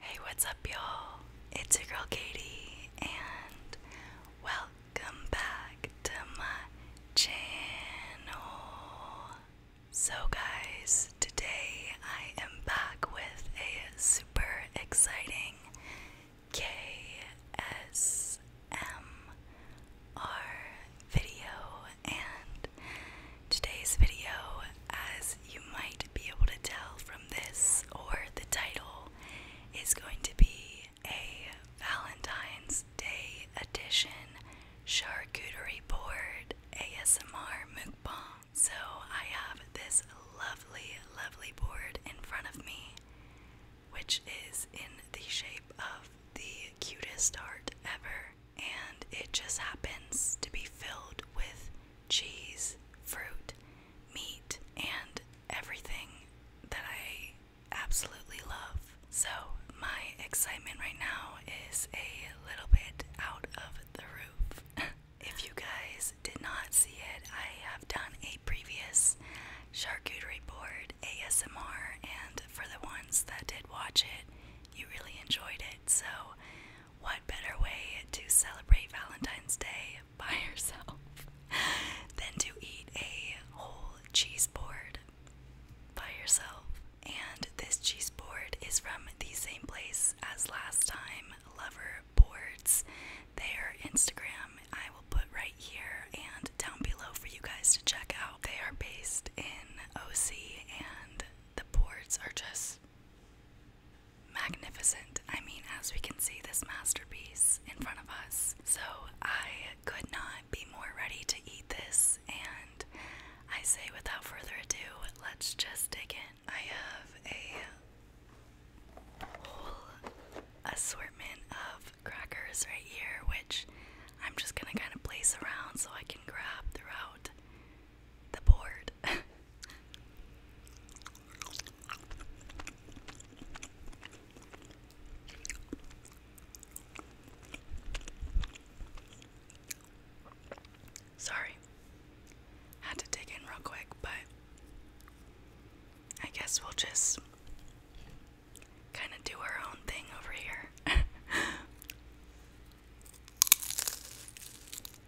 Hey, what's up, y'all? It's your girl Katie, and welcome back to my channel. So, guys, today I am back with a super exciting KSMR video, and Today's video, as you might be able to tell from this or the title, is going to be a Valentine's Day edition charcuterie board ASMR mukbang. So I have this lovely, lovely board in front of me, which is in the shape of the cutest heart ever and it just happens to be filled with cheese, fruit, meat, and everything that I absolutely love. So, my excitement right now is a little bit out of the roof. if you guys did not see it, I have done a previous charcuterie board ASMR, and for the ones that did watch it, you really enjoyed it. So, what better way to celebrate Valentine's Day by yourself than to eat a whole cheese board by yourself? And this cheese board is from the same place as last time, Lover Boards. Their Instagram I will put right here and down below for you guys to check out. They are based in OC and the boards are just magnificent. I mean, as we can see, this masterpiece in front of us. So I could not be more ready to eat this, and I say without further ado, let's just dig in. I have a whole assortment of crackers right here, which I'm just gonna kind of place around so I can grab throughout the board. Sorry. Had to dig in real quick, but I guess we'll just kind of do our own thing over here.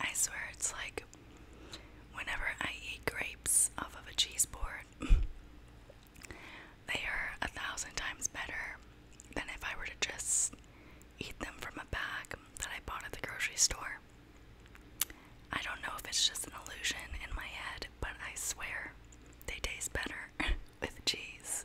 I swear it's like whenever I eat grapes off of a cheese board, they are a thousand times better than if I were to just eat them from a bag that I bought at the grocery store. I don't know if it's just an illusion in my head, but I swear they taste better with cheese.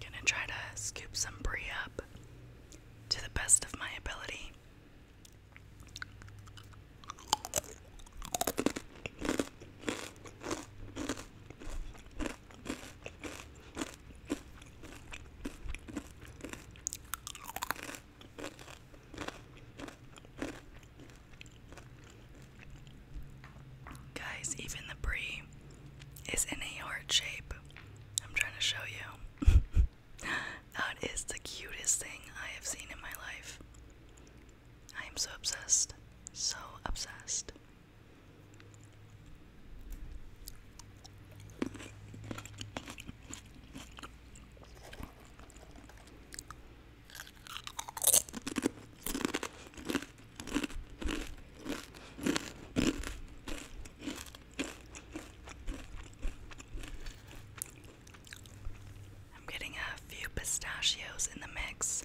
Gonna try to scoop some brie up to the best of my ability. Guys, even the brie is in a heart shape. I'm trying to show you. that is the cutest thing I have seen in my life. I am so obsessed. So obsessed. I'm getting a few pistachios in the mix.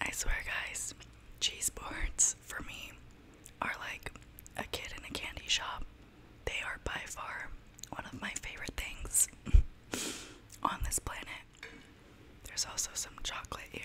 I swear, guys, cheese boards for me are like a kid in a candy shop. They are by far one of my favorite things on this planet. There's also some chocolate here.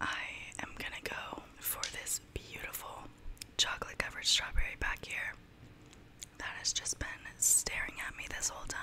I am gonna go for this beautiful chocolate covered strawberry back here that has just been staring at me this whole time.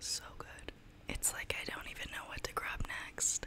So good. It's like I don't even know what to grab next.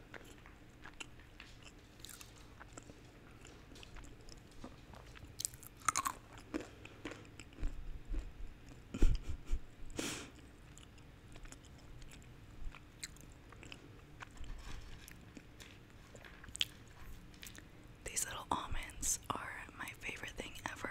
These little almonds are my favorite thing ever.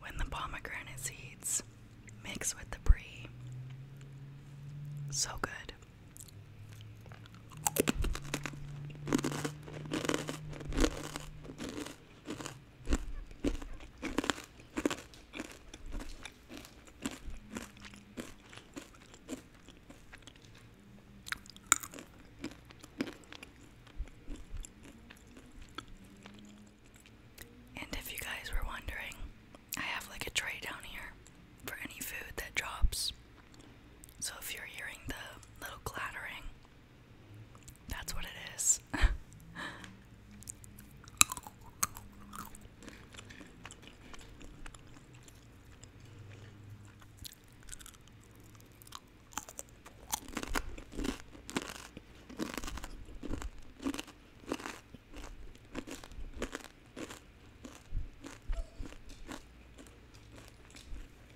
When the pomegranate seeds mix with the brie, so good. And if you guys were wondering, I have like a tray down here for any food that drops. So if you're hearing the little clattering, that's what it is.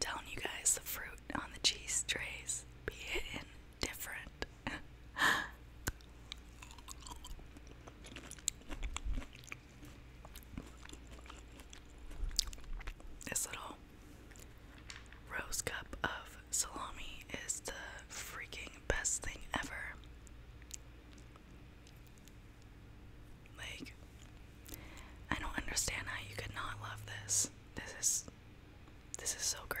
Telling you guys, the fruit on the cheese trays be hitting different. this little rose cup of salami is the freaking best thing ever. Like, I don't understand how you could not love this. This is, this is so great.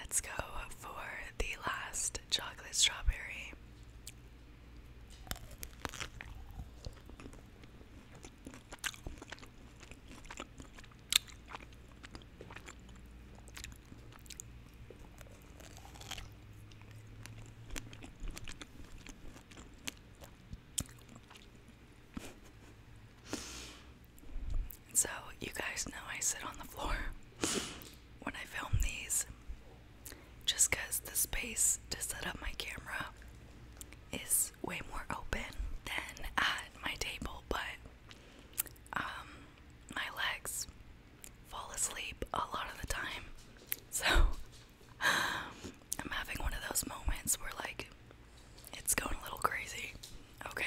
Let's go for the last chocolate strawberry. So, you guys know I sit on the floor when I film these just because the space to set up my camera is way more open than at my table, but um, my legs fall asleep a lot of the time. So I'm having one of those moments where, like, it's going a little crazy. Okay.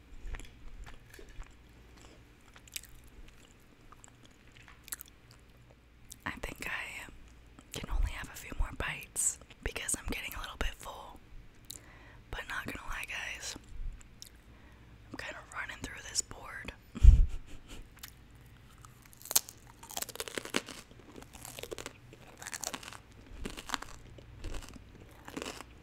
I think I can only have a few more bites because I'm getting a little bit full. But not gonna lie, guys, I'm kind of running through this board.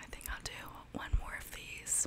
I think I'll do one more of these.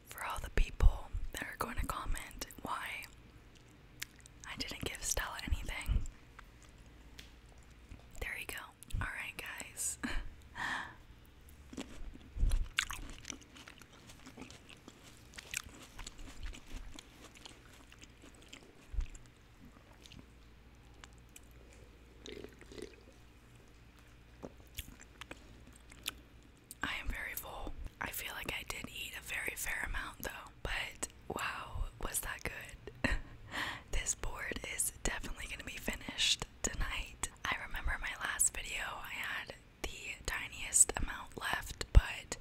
for all the people that are going to comment why I didn't give Stella anything. There you go. Alright, guys. I am very full. I feel like I did eat a very fair amount though, but wow, was that good? this board is definitely going to be finished tonight. I remember my last video, I had the tiniest amount left, but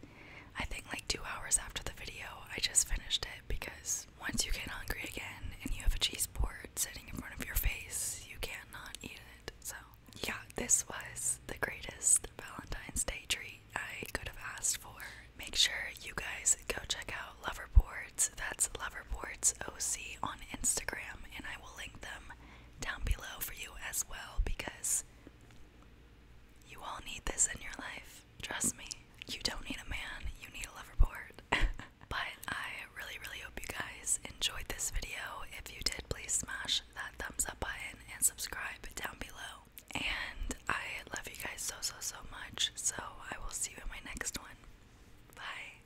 I think like two hours after the video, I just finished it because once you get hungry again and you have a cheese board sitting in front of your face, you cannot eat it. So yeah, this was the greatest Valentine's Day treat I could have asked for. Make sure you guys go check out Loverboards. That's Loverboards OC on Instagram, and I will link them down below for you as well because you all need this in your life. Trust me. You don't need a man, you need a Loverboard. but I really, really hope you guys enjoyed this video. If you did, please smash that thumbs up button and subscribe down below. And I love you guys so, so, so much. So I will see you in my next one. Bye.